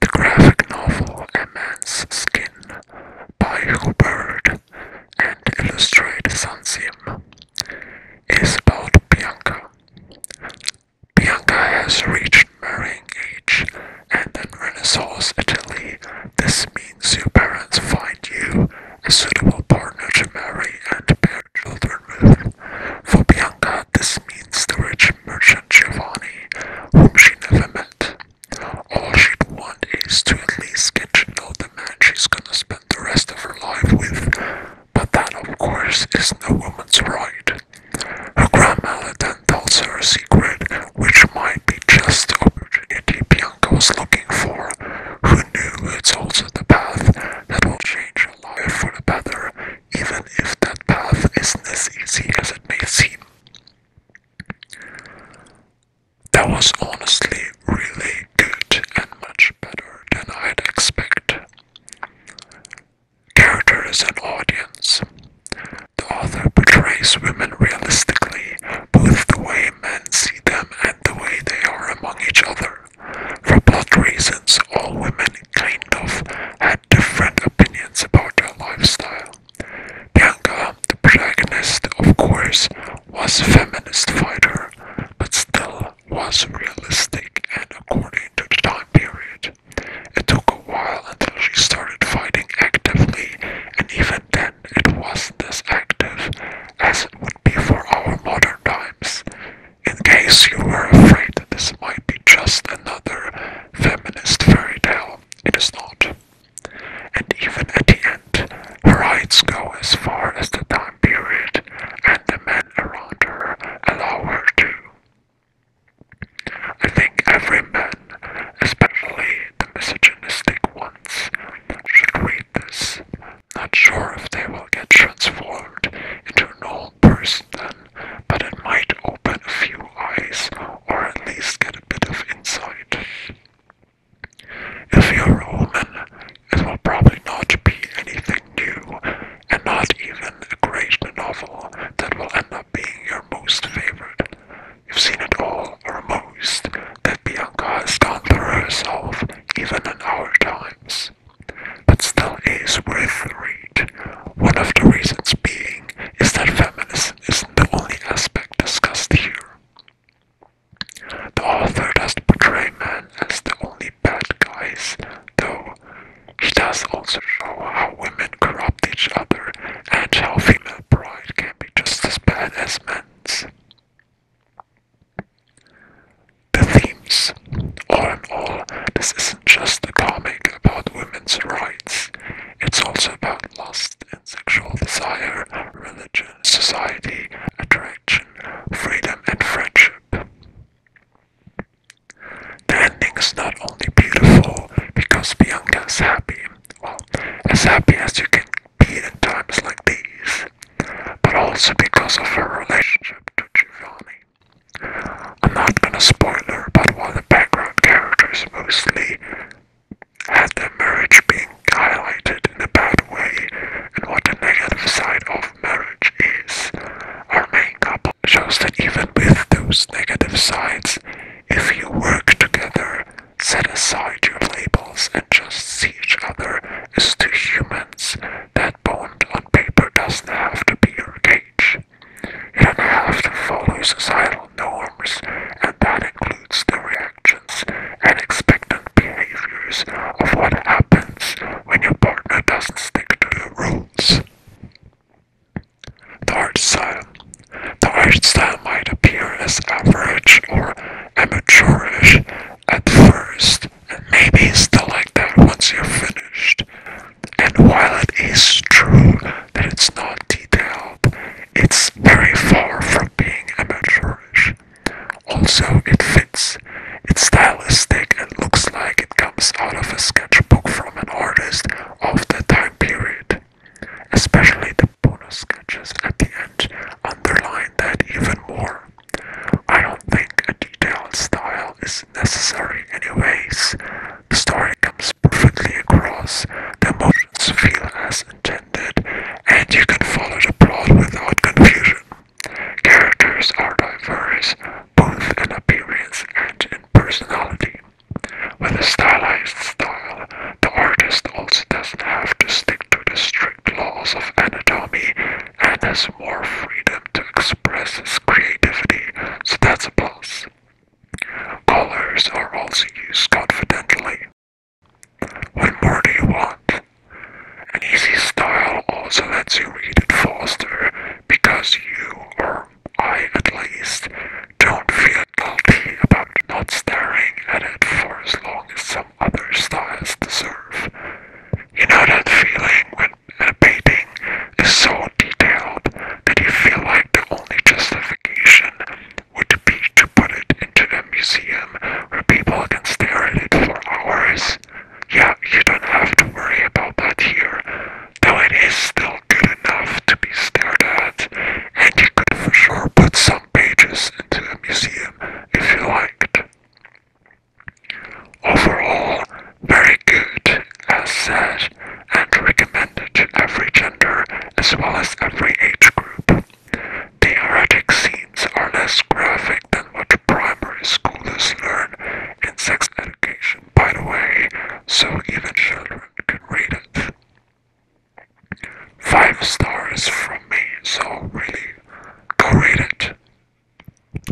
The graphic novel "A Man's Skin" by Hubert and illustrated Sansium is about Bianca. Bianca has reached marrying age, and in Renaissance Italy, this means your parents find you a suitable partner to marry and bear children with. For Bianca, this means the rich merchant Giovanni, whom she never met. All she'd want is to at least get to know the man she's gonna spend the rest of her life with, but that, of course, is no woman's right. Her grandmother then tells her a secret, which might be just the opportunity Bianca was looking for. Who knew it's also the path that will change her life for the better even if that path isn't as easy as it may seem. That was honestly really good and much better than I'd expect. Characters and audience. The author portrays women realistically, both the way men see them and the way they are among each other. For plot reasons, all women kind of different opinions about their lifestyle. Bianca, the protagonist, of course, was a feminist fighter, but still was realistic and according to the time period. It took a while until she started fighting actively, and even then it wasn't as active as it would be for our modern times. In case you were afraid that this might be just another feminist fairy tale. It is not. And even at the end, her heights go as far as the time period and the men around her allow her to. I think every man, especially the misogynistic ones, should read this. Not sure if they will get transformed into an person then, but it might open a few eyes or at least get a bit of insight. If you're a woman, it will probably not be anything new, and not even a great novel that will end up being your most favorite. You've seen it all, or most, that Bianca has gone through herself, even in our times but still is worth the read. One of the reasons being is that feminism isn't the only aspect discussed here. The author does portray men as the only bad guys, though she does also show how women corrupt each other and how female pride can be just as bad as men's. The themes. All in all, this is isn't just a comic about women's rights, it's also about lust and sexual desire, religion, society, attraction, freedom, and friendship. The ending is not only beautiful because Bianca is happy, well, as happy as you can be in times like these, but also because of her relationship to Giovanni. I'm not gonna spoil spoiler, but while the background characters mostly had their marriage being highlighted in a bad way and what the negative side of marriage is, our main couple shows that even with those negative sides, if you work together, set aside your labels and just see each other as two humans, that bond on paper doesn't have to be your cage. You have to follow societal norms, and that includes the reactions and expectant behaviors of what happens when your partner doesn't stick to the rules. The art style. The art style might appear as average or amateurish at first, and maybe still like that once you're finished, and while it is true that it's not detailed, it's very far from being amateurish. Also, it fits. It's stylistic It looks like it comes out of a sketchbook from an artist of the time period. Especially the bonus sketches at the end underline that even more. I don't think detailed style is necessary anyways. The story comes perfectly across, the emotions feel as intended, and you can follow the plot without confusion. Characters are diverse, both in appearance and in personality. With a stylized style, the artist also doesn't have to stick to the strict laws of anatomy and has more freedom to explore suppresses creativity, so that's a plus. Colors are also used confidently. What more do you want? An easy style also lets you read it faster because you, or I at least, don't feel guilty about not staring at it for as long as some other styles deserve. You know that feeling when a painting is so detailed that you feel like the only justification would be to put it into a museum where people can stare at it for hours. Yeah, you don't have to worry about that here, though it is still good enough to be stared at, and you could for sure put some pages into a museum if you liked. Overall, very good, as said and recommended to every gender as well as every age group. The erotic scenes are less graphic than what primary schoolers learn in sex education, by the way, so even children can read it. Five stars from me, so really, go read it.